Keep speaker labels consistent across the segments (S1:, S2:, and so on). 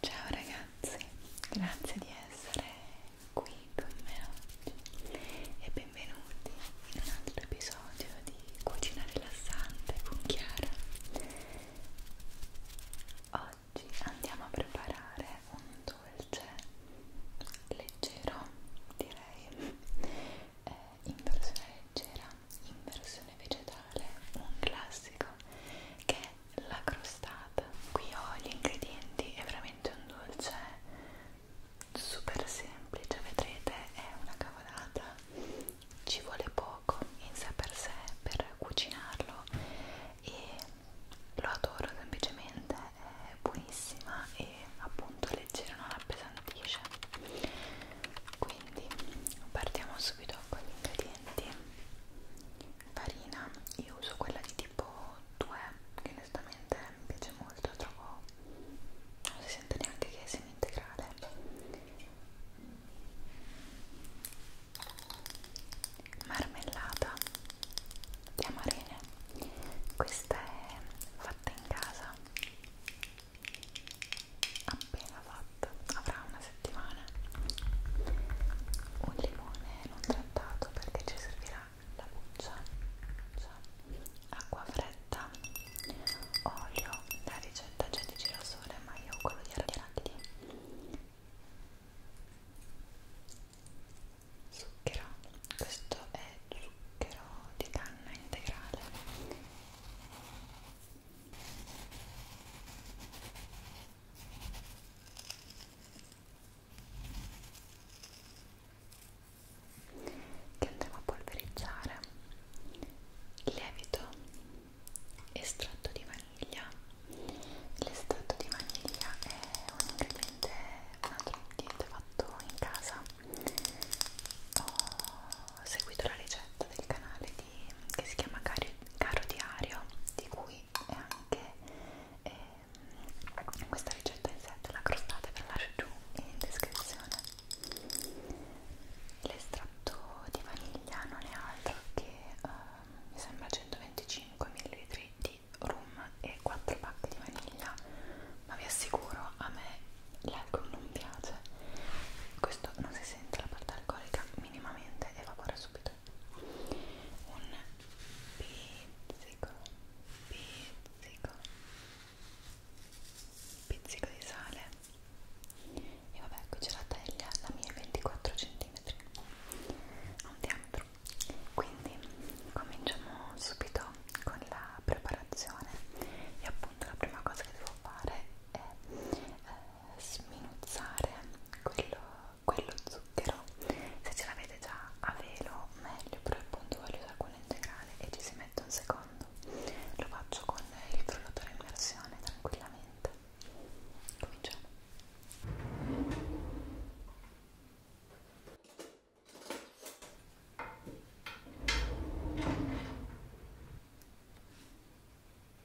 S1: Ciao ragazzi, grazie di essere qui con me oggi e benvenuti in un altro episodio di Cucina Rilassante con Chiara. Oggi andiamo a preparare un dolce leggero, direi, eh, in versione leggera, in versione vegetale, un classico che è è la crostata qui ho gli ingredienti è veramente un dolce super semplice vedrete è una cavolata ci vuole poco in sé per sé per cucinarlo e lo adoro semplicemente è buonissima e appunto leggera non appesantisce quindi partiamo subito con gli ingredienti farina io uso quella di tipo 2 che onestamente mi piace molto trovo non si sente neanche che è semi integrale marmellata di amarene questa è fatta in casa appena fatta avrà una settimana un limone non trattato perché ci servirà la buccia, acqua fredda, olio, la ricetta c'è di girasole ma io ho quello di arachidi, zucchero, questo è zucchero di canna integrale che andremo a polverizzare lievito estratto di vaniglia l'estratto di vaniglia è un ingrediente un altro ingrediente fatto in casa ho seguito la ricetta del canale di, che si chiama Caro Diario di cui è anche e questa ricetta in set la crostate ve la lascio giù in descrizione l'estratto di vaniglia non è altro che eh, mi sembra 125 ml di rum e 4 pacche di vaniglia ma vi assicuro a me l'alcol non piace questo non si sente la parte alcolica minimamente evapora subito un pizzico, pizzico, pizzico di sale e vabbè qui c'è la teglia, la mia 24 cm ha un diametro quindi cominciamo subito con la preparazione e appunto la prima cosa che devo fare è eh, sminuzzare quello quello zucchero se ce l'avete già a velo meglio però appunto voglio usare quello integrale e ci si mette un secondo lo faccio con il frullatore a immersione tranquillamente cominciamo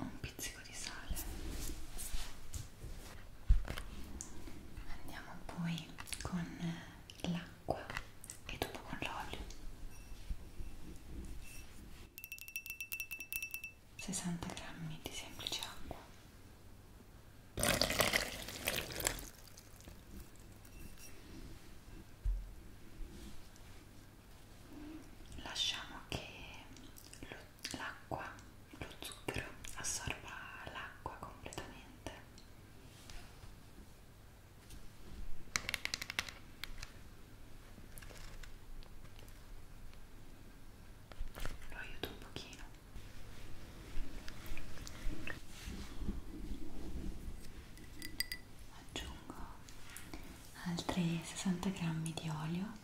S1: un pizzico di sale andiamo poi con l'acqua e dopo con l'olio 60 grammi di semplice acqua lasciamo che l'acqua, lo, lo zucchero assorba l'acqua completamente lo aiuto un pochino aggiungo altri 60 grammi di olio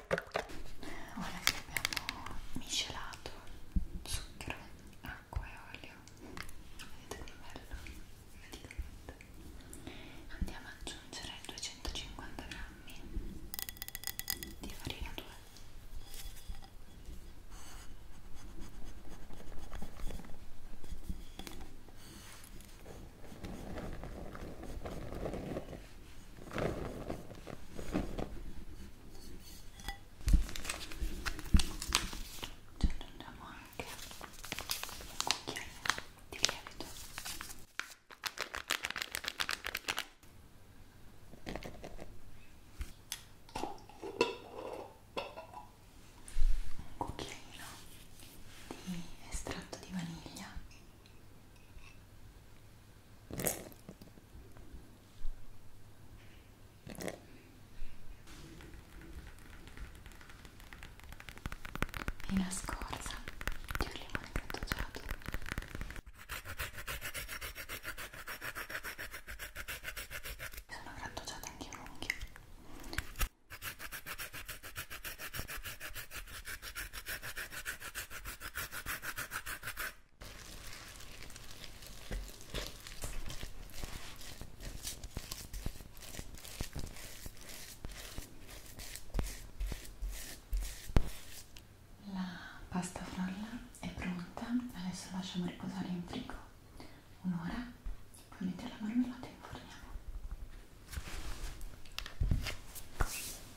S1: ora che abbiamo miscelato zucchero, acqua e olio vedete che bello praticamente andiamo ad aggiungere 250 grammi di farina 2 Ora ci aggiungiamo anche un cucchiaino di lievito un cucchiaino di estratto di vaniglia e una scorza di un limone grattugiato sono grattugiata anche un unghio la pasta frolla è pronta, adesso lasciamo riposare in frigo un'ora, poi mettiamo la marmellata e inforniamo.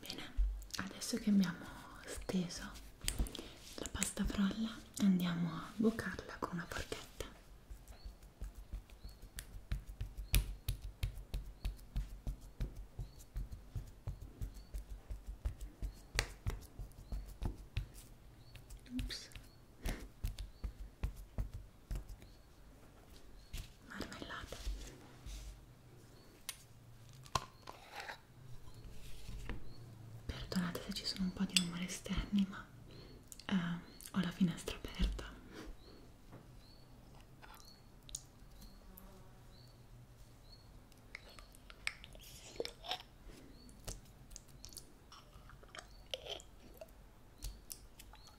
S1: Bene, adesso che abbiamo steso la pasta frolla andiamo a bucarla con una forchetta. Ups marmellata perdonate se ci sono un po' di rumori esterni ma eh, ho la finestra aperta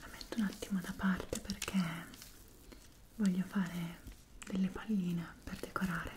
S1: La metto un attimo da parte perché voglio fare delle palline per decorare.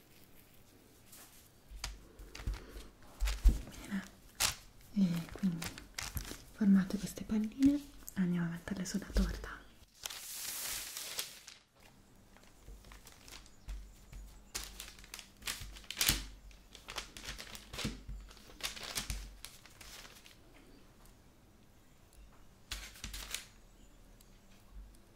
S1: Bene, e quindi formate queste palline andiamo a metterle sulla torta.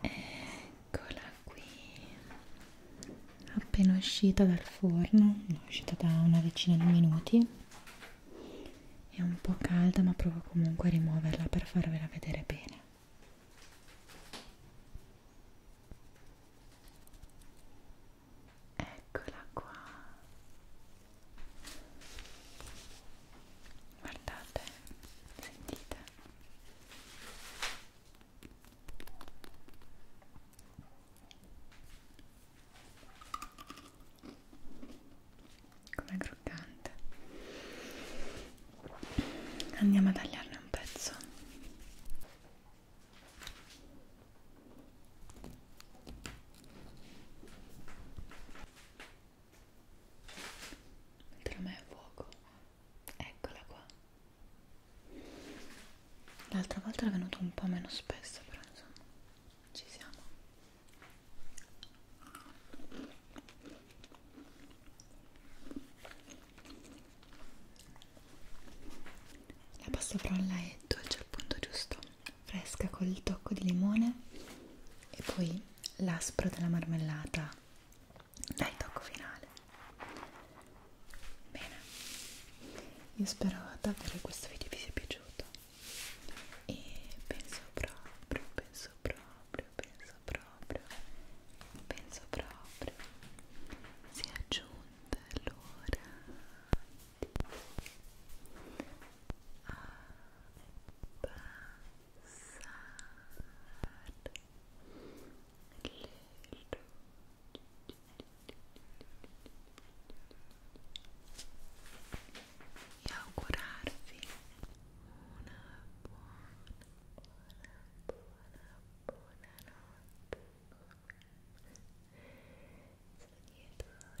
S1: eccola qui appena uscita dal forno è uscita da una decina di minuti è un po' calda ma provo comunque a rimuoverla per farvela vedere bene eccola qua guardate sentite com'è croccante andiamo a tagliarne un pezzo mentre a me è fuoco eccola qua l'altra volta era venuto un po' meno spesso però insomma ci siamo la pasta frolla è dolce al punto giusto fresca col tocco di limone e poi l'aspro della marmellata dai tocco finale bene io spero davvero che questo video vi sia piaciuto e penso proprio penso proprio penso proprio penso proprio si è giunta l'ora di abbandonarsi ah, e augurarvi una buona, buona, buona, buona notte. Sognatore, sognatore, sweet dreams